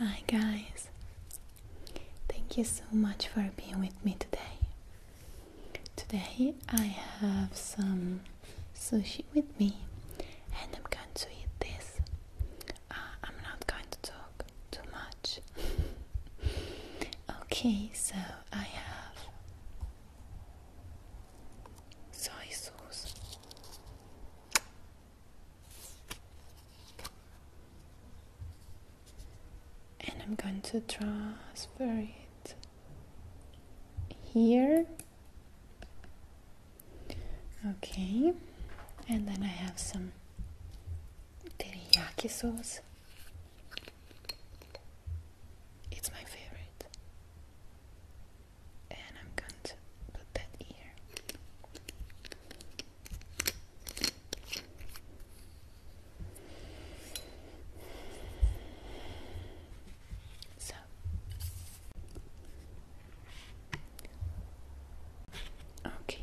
Hi guys, thank you so much for being with me today. Today I have some sushi with me and I'm going to eat this. Uh, I'm not going to talk too much okay, so I have soy sauce. And I'm going to transfer it here. Okay, and then I have some teriyaki sauce. It's my favorite. And I'm going to put that here. So okay.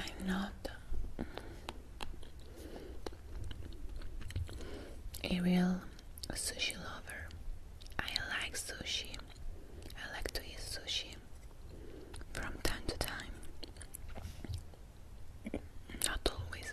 I'm not a real sushi lover. I like sushi, I like to eat sushi from time to time. Not always.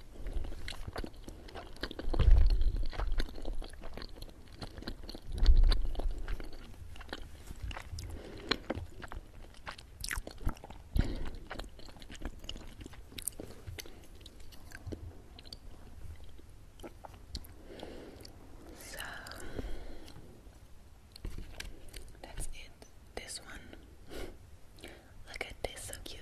So that's it. This one. Look at this, so cute.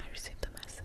I received a message.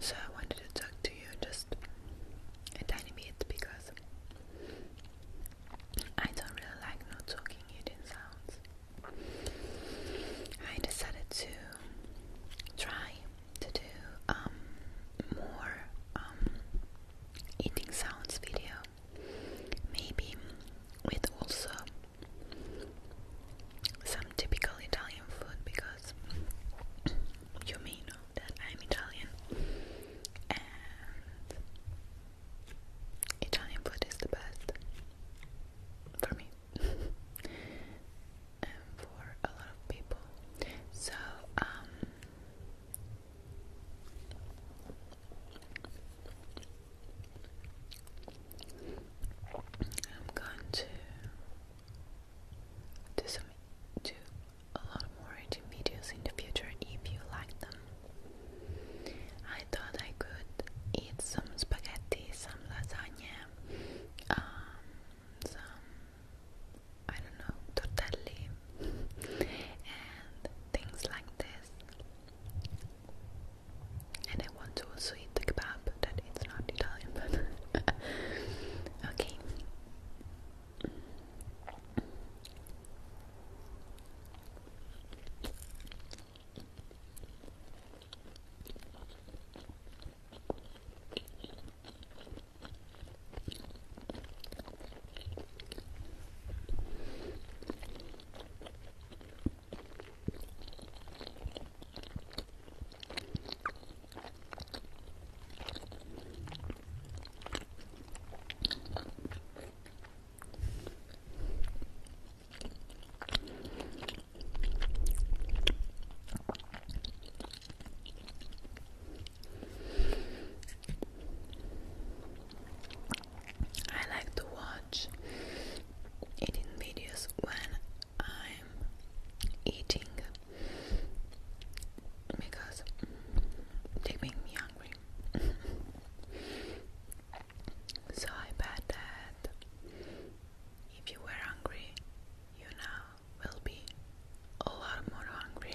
So I wanted to talk to you just a tiny bit because I don't really like not talking hidden sounds. I decided to try to do um, more um, eating sounds video maybe with also some typical Italian food because you may know that I'm Italian and Italian food is the best for me and for a lot of people. So, um, I'm going to do some do a lot more eating videos in the future if you like them. I thought I could eat some spaghetti, some lasagna, um, some I don't know, tortelli and things like this and I want to also eat the kebab that it's not Italian but okay I like to watch eating videos when I'm eating because mm, they make me hungry. so I bet that if you were hungry, you now will be a lot more hungry.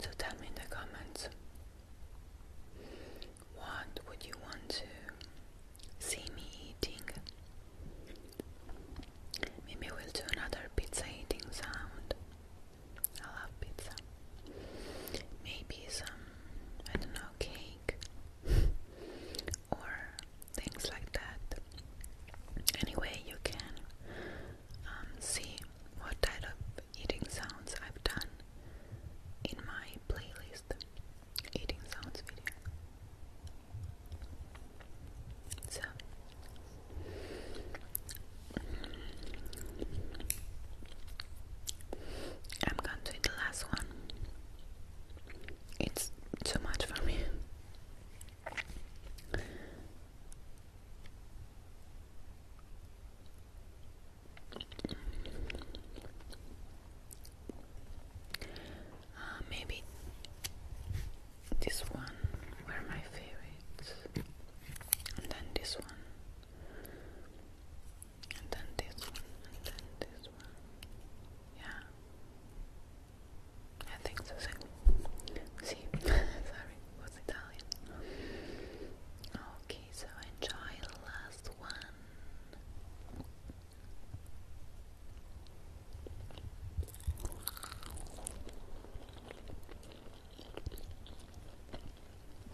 So tell me in the comments what would you want to see me eating? Maybe we'll do another pizza eating sound. I love pizza. Maybe some, I don't know, cake or things like that. Anyway, you can um, see what type of eating sounds I've done in my playlist eating sounds video. So I'm going to eat the last one. It's too much for me. Uh, maybe this one were my favorites, and then this one and then this one, and then this one. Yeah. I think so. See, sorry, was Italian. Okay, so enjoy the last one.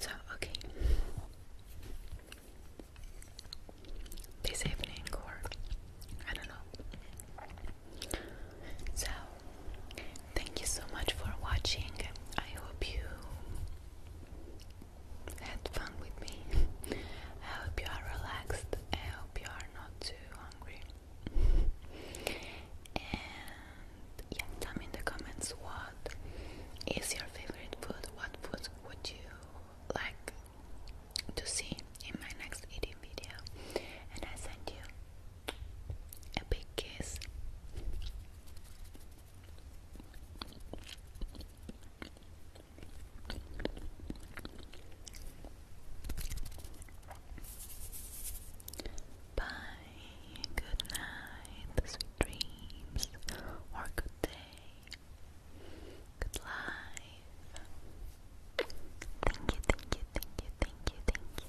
So, okay. They say an I don't know. So, Thank you so much for watching. I hope you had fun with me. I hope you are relaxed. I hope you are not too hungry. and yeah, tell me in the comments what is your favorite food? What food would you like to see in my next eating video? And I send you a big kiss. Bye, good night, sweet dreams, or good day, good life. Thank you, thank you, thank you, thank you, thank you.